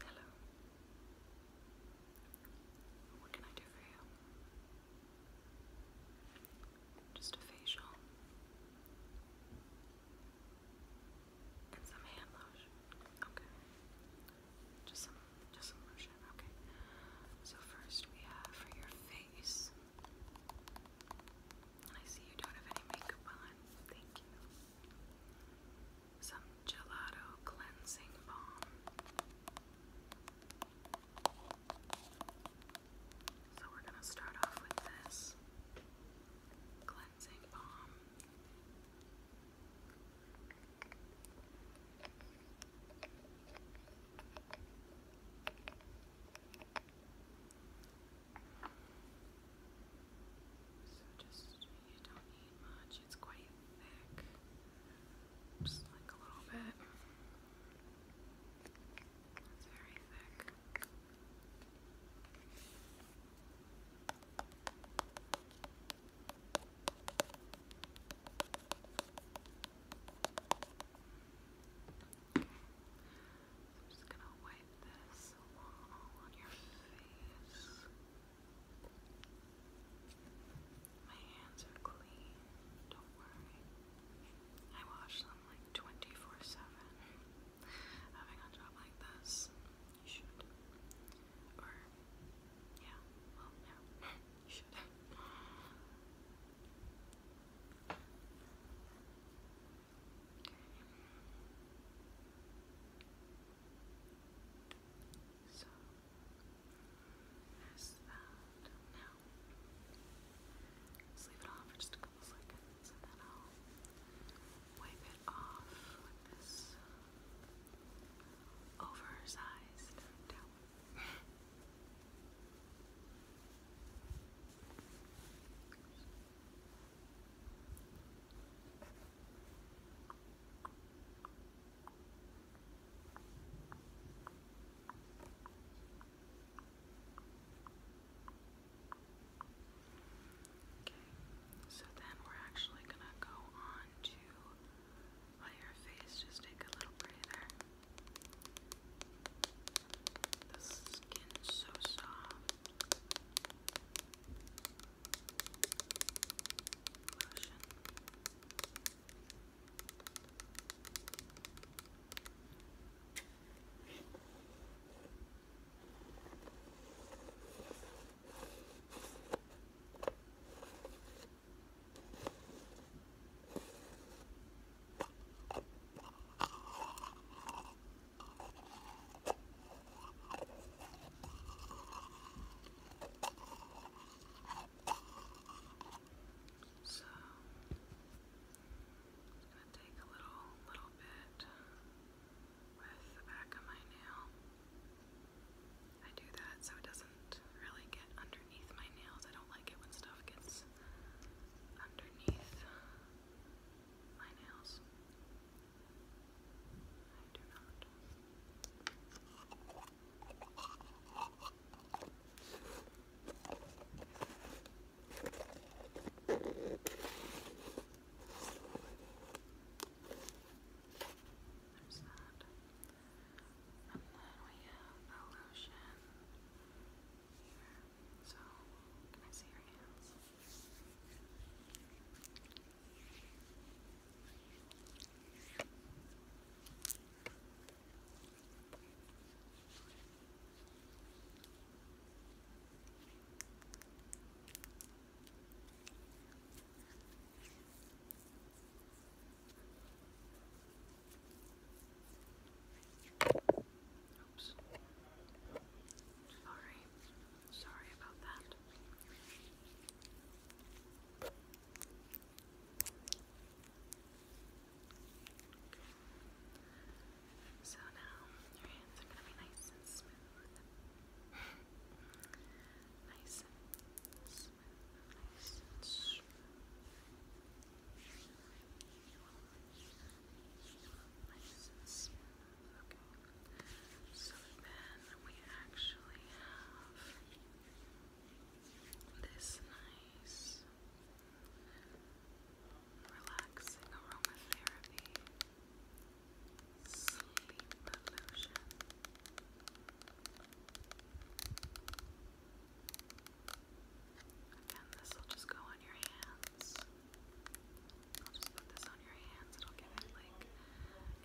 Hello. What can I do for you? Just a facial and some hand lotion. Okay. Just some just some lotion. Okay. So first we have for your face. And you don't have any makeup on. Thank you some gelato cleansing balm. So we're going to start off with this cleansing balm. So just, you don't need much, it's quite thick. Just like a little bit. It's very thick. I'm just gonna wipe this all on your face. My hands are clean, don't worry. I wash them like 24 7. Having a job like this, you should. Or, yeah, well, yeah, you should. So there's Now let leave it on for just a couple seconds and then I'll wipe it off with this oversized towel. so then we're actually going to go on to while your face, just take a little breather. The skin's so soft. Lotion. So i going to take a little little bit with the back of my nail. I do that so it doesn't really get underneath my nails. I don't like it when stuff gets is underneath my nails. I do not. There's that. And then we have a lotion So, can I see your hands? Oops. Sorry. Sorry about that. So now your hands are going to be nice and smooth. nice and smooth license. Okay. So then we actually have this nice relaxing aromatherapy sleep lotion. Again, this will just go on your hands. I'll just put this on your hands. It'll give it like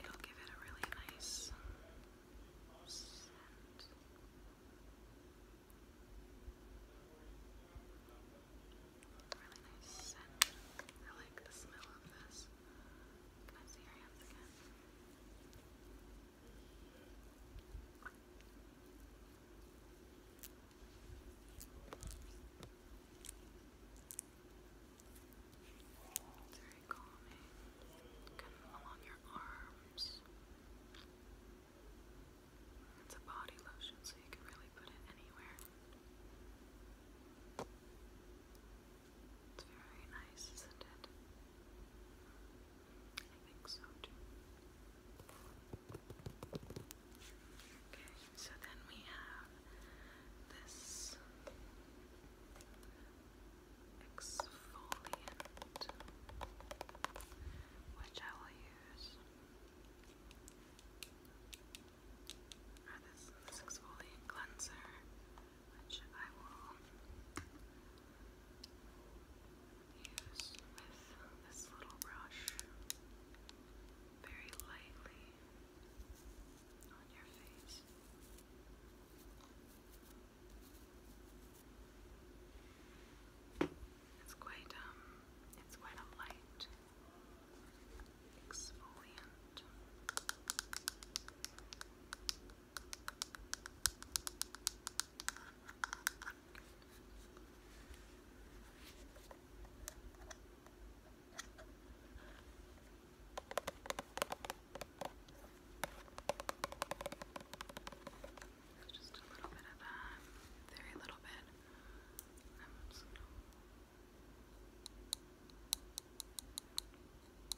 it'll give it a really nice Really nice scent. I like the smell of this. Can I see your hands again? It's very calming. Kind of along your arms. It's a body lotion, so you can really put it anywhere. It's very nice, isn't it? I think so Okay, so then we have this exfoliant, which I will use. this, this exfoliant cleanser which I will use with this little brush very lightly on your face. It's quite um it's quite a light exfoliant. Just a little bit of that, very little bit. Um,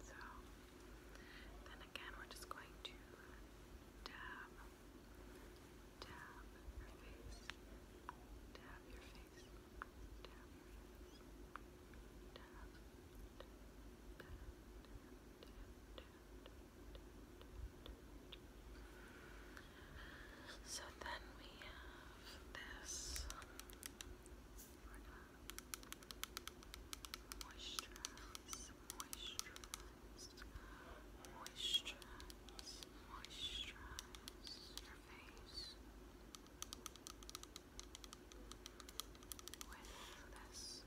So then again, we're just going to dab, dab your face, dab your face. So then we have this sort of moisturize, moisturize, your face with this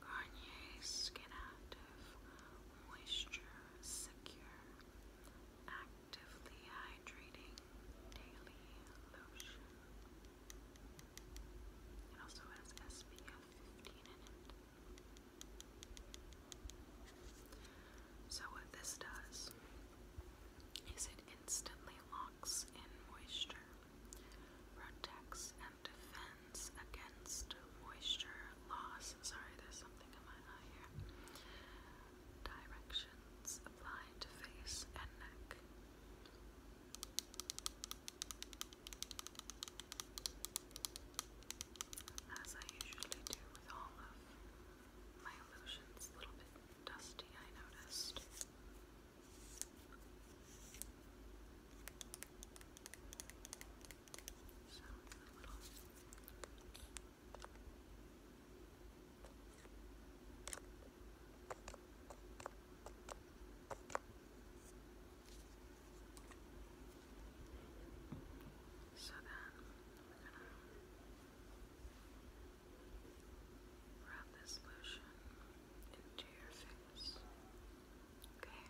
Garnier Skin Moisture Secure Actively Hydrating Daily Lotion. It also has SPF 15 in it. So, what this does is it instantly locks in moisture, protects and defends against moisture loss. Sorry, there's something in my eye here. Directions applied to face and neck. As I usually do with all of my illusions, a little bit dusty, I noticed. So, then Rub this lotion into your face. Okay.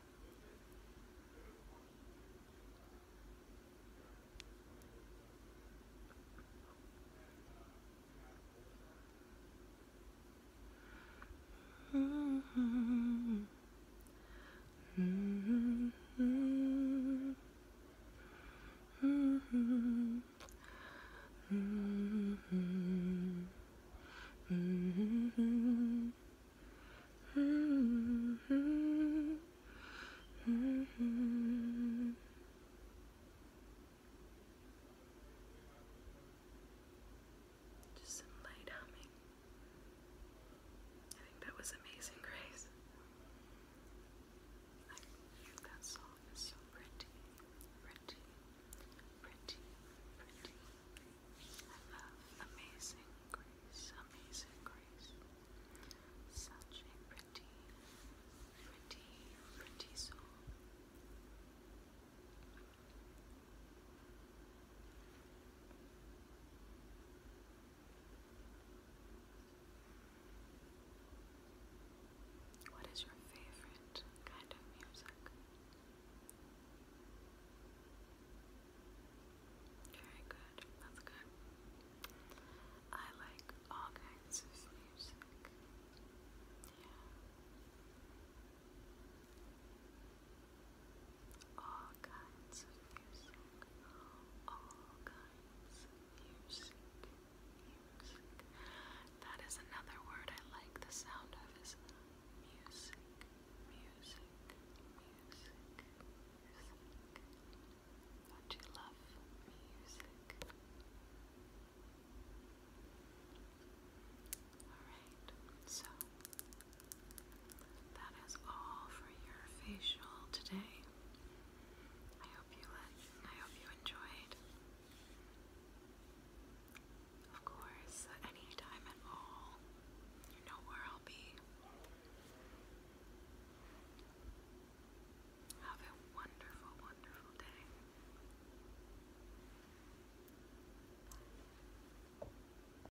Mm -hmm. -hmm. Mm -hmm. Mm -hmm. Mm -hmm. Just some light humming that was Amazing Grace. I think that song so pretty, pretty, pretty, pretty. I love Amazing Grace, Amazing Grace. Such a pretty, pretty, pretty song. What is your favorite kind of music? Very good, that's good. I like all kinds of music. Yeah all kinds of music, all kinds of music, music. That is another word I like the sound of is music, music, music, music. do you love music? Alright, so that is all for your facial today. I hope you I hope you enjoyed. Of course, any time at all, you know where I'll be. Have a wonderful, wonderful day.